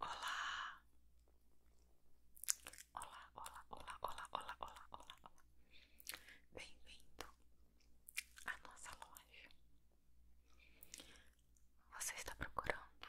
Olá! Olá, olá, olá, olá, olá, olá, olá, olá. Bem-vindo à nossa loja. Você está procurando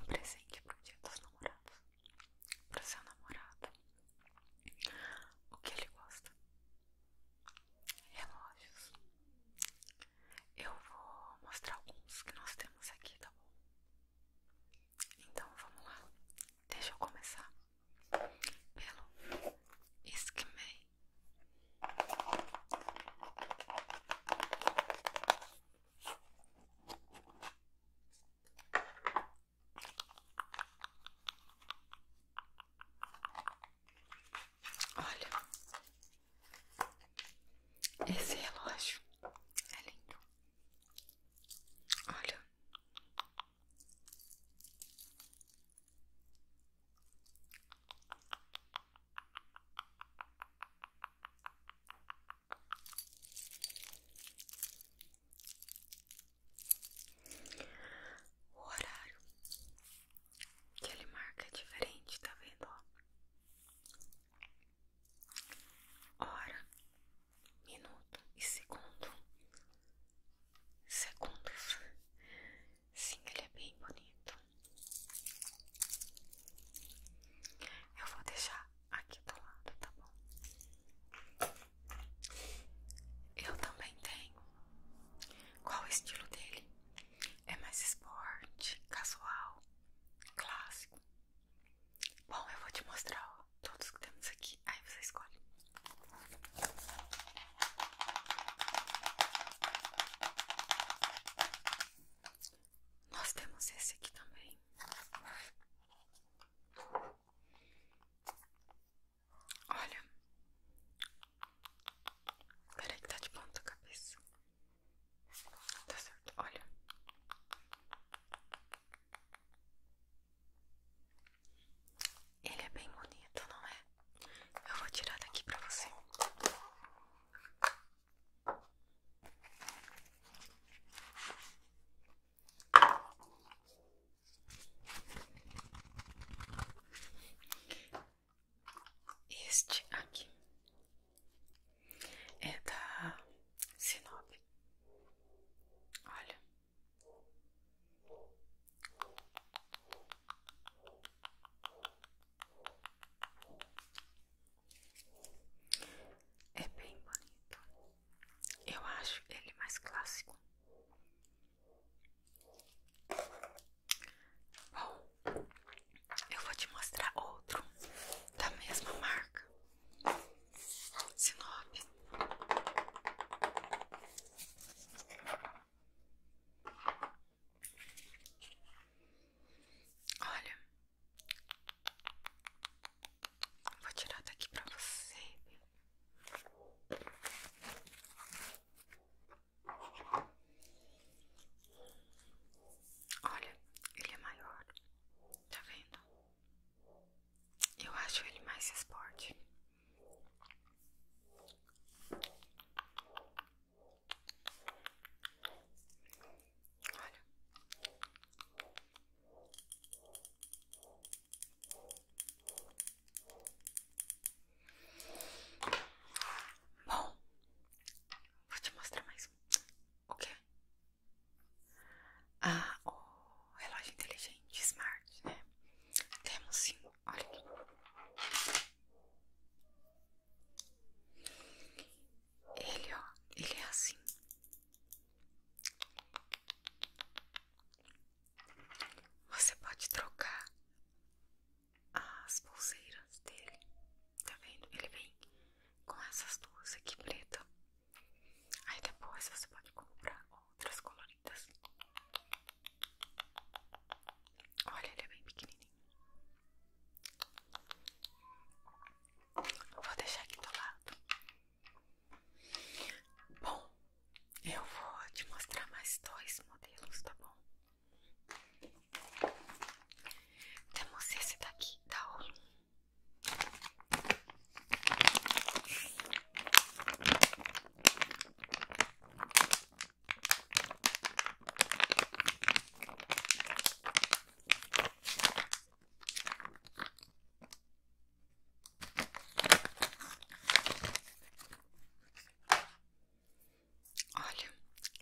um presente para o dia dos namorados? Para seu namorado? O que ele gosta? Relógios, eu vou mostrar alguns que nós temos aqui, tá bom? Então vamos lá. Deixa eu começar pelo Esquimei. Olha, esse relógio é lindo. Olha. O horário que ele marca é diferente, tá vendo? hora, minuto e segundo. Segundos. Sim, ele é bem bonito. Eu vou deixar aqui do lado, tá bom? Eu também tenho. Qual o estilo dele? É mais esporte, casual, clássico. Bom, eu vou te mostrar todos que temos aqui. Aí você escolhe. Nós temos esse aqui também. Olha. Peraí que tá de ponta cabeça. Tá certo, olha. Ele é bem bonito, não é? Eu vou tirar daqui pra você. Este aqui é da Sinop. Olha. É bem bonito. Eu acho ele mais clássico. Bom, eu vou te mostrar outro da mesma marca Sinop Olha Vou tirar daqui pra você Olha, ele é maior. Tá vendo? Eu acho ele mais esporte. Olha. Bom, vou te mostrar mais um. O quê? Ah, o relógio inteligente, smart, né? Temos sim, olha aqui. Ele, ó, ele é assim. Você pode trocar as pulseiras dele, tá vendo? Ele vem com essas duas aqui preta. Aí depois você pode comprar outras coloridas. Olha, ele é bem pequenininho. Vou deixar aqui do lado. Bom, eu vou te mostrar mais dois modelos, tá bom? Temos esse daqui da Olum. Olha,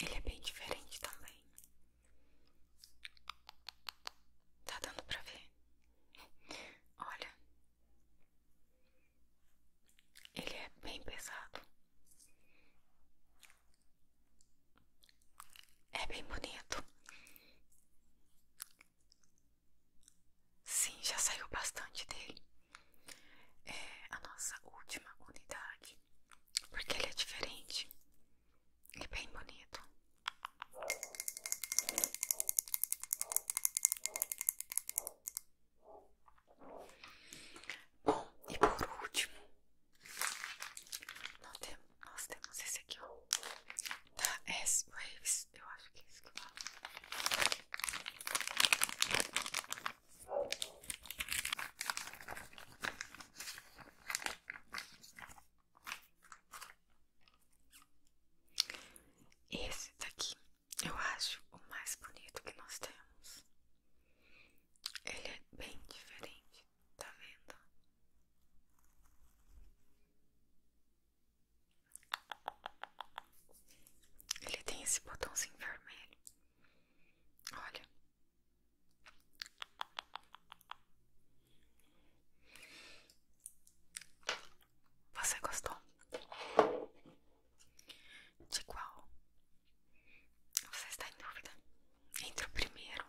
ele é bem diferente também. Tá dando pra ver? Olha, ele é bem pesado, é bem bonito. Sim, já saiu bastante dele. É a nossa última unidade, porque ele é diferente e é bem bonito. Bom, e por último, nós temos, esse aqui, ó, da tá, é, é s eu acho que é isso que eu falo. Esse daqui eu acho o mais bonito que nós temos. Ele é bem diferente, tá vendo? Ele tem esse botãozinho vermelho. Olha, você gostou? De qual? Você está em dúvida? Entre o primeiro.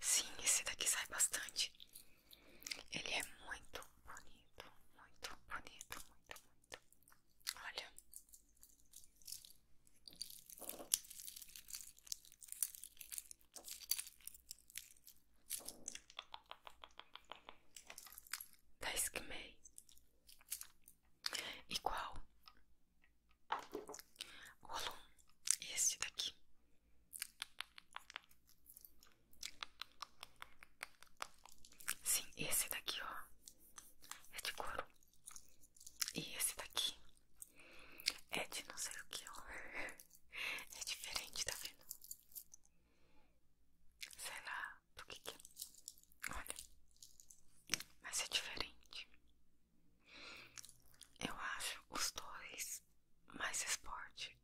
Sim, esse daqui sai bastante. Ele é muito bonito, muito bonito, muito, muito. Olha, Dez tá que meio igual o aluno, esse daqui. Sim, esse daqui, ó, é de couro. E esse daqui é de não sei o que, ó. É diferente, tá vendo? Sei lá do que que é. Olha. Mas é diferente. Eu acho os dois mais esporte.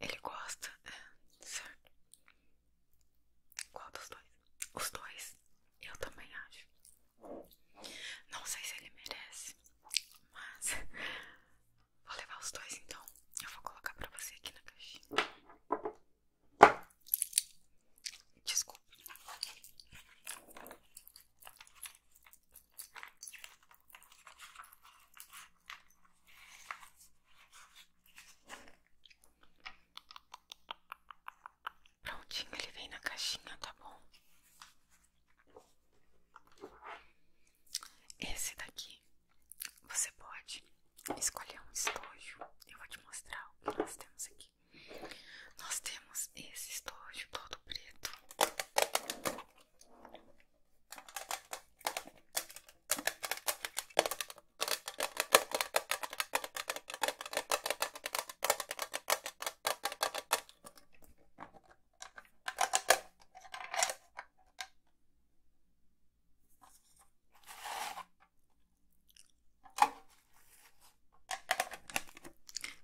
Ele gosta, é, certo? Qual dos dois? Os dois, eu também acho. Não sei se ele merece, mas vou levar os dois então. Eu vou colocar pra você aqui na caixinha. Desculpa. Prontinho, ele vem na caixinha, tá bom? Esse daqui você pode escolher um estojo. Eu vou te mostrar o que nós temos aqui. Nós temos esse estojo todo preto.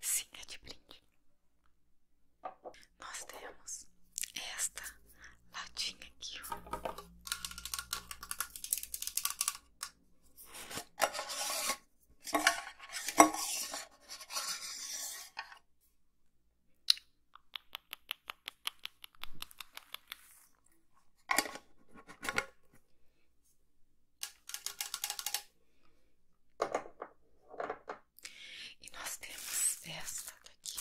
Sim, é de brinde. Nós temos esta latinha aqui, e nós temos esta daqui.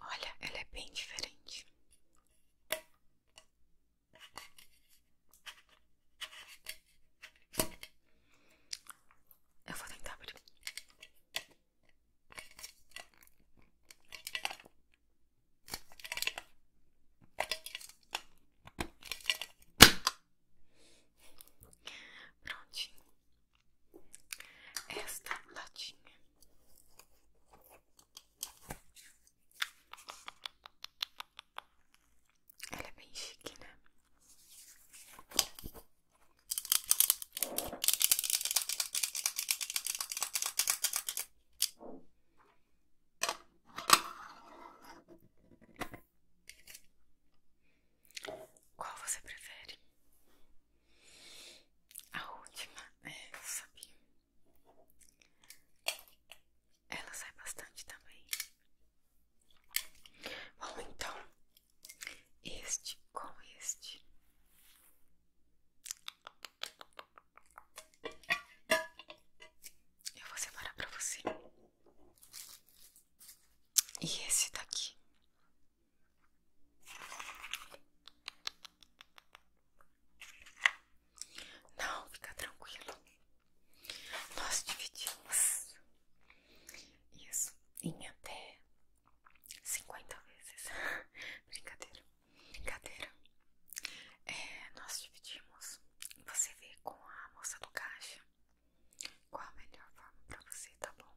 Olha, ela é bem diferente. Eu vou tentar abrir. Prontinho. Esta latinha ela é bem chique, né? Qual você prefere? A última é, eu sabia. Ela sai bastante também. Bom, então, este com este eu vou separar pra você. E esse daqui. Não, fica tranquilo. Nós dividimos isso em até 50 vezes. Brincadeira. Brincadeira. É, nós dividimos. Você vê com a moça do caixa qual a melhor forma pra você, tá bom?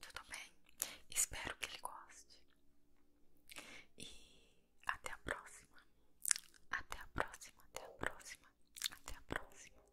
Tudo bem? Espero que ele goste. E até a próxima. Até a próxima, até a próxima, até a próxima.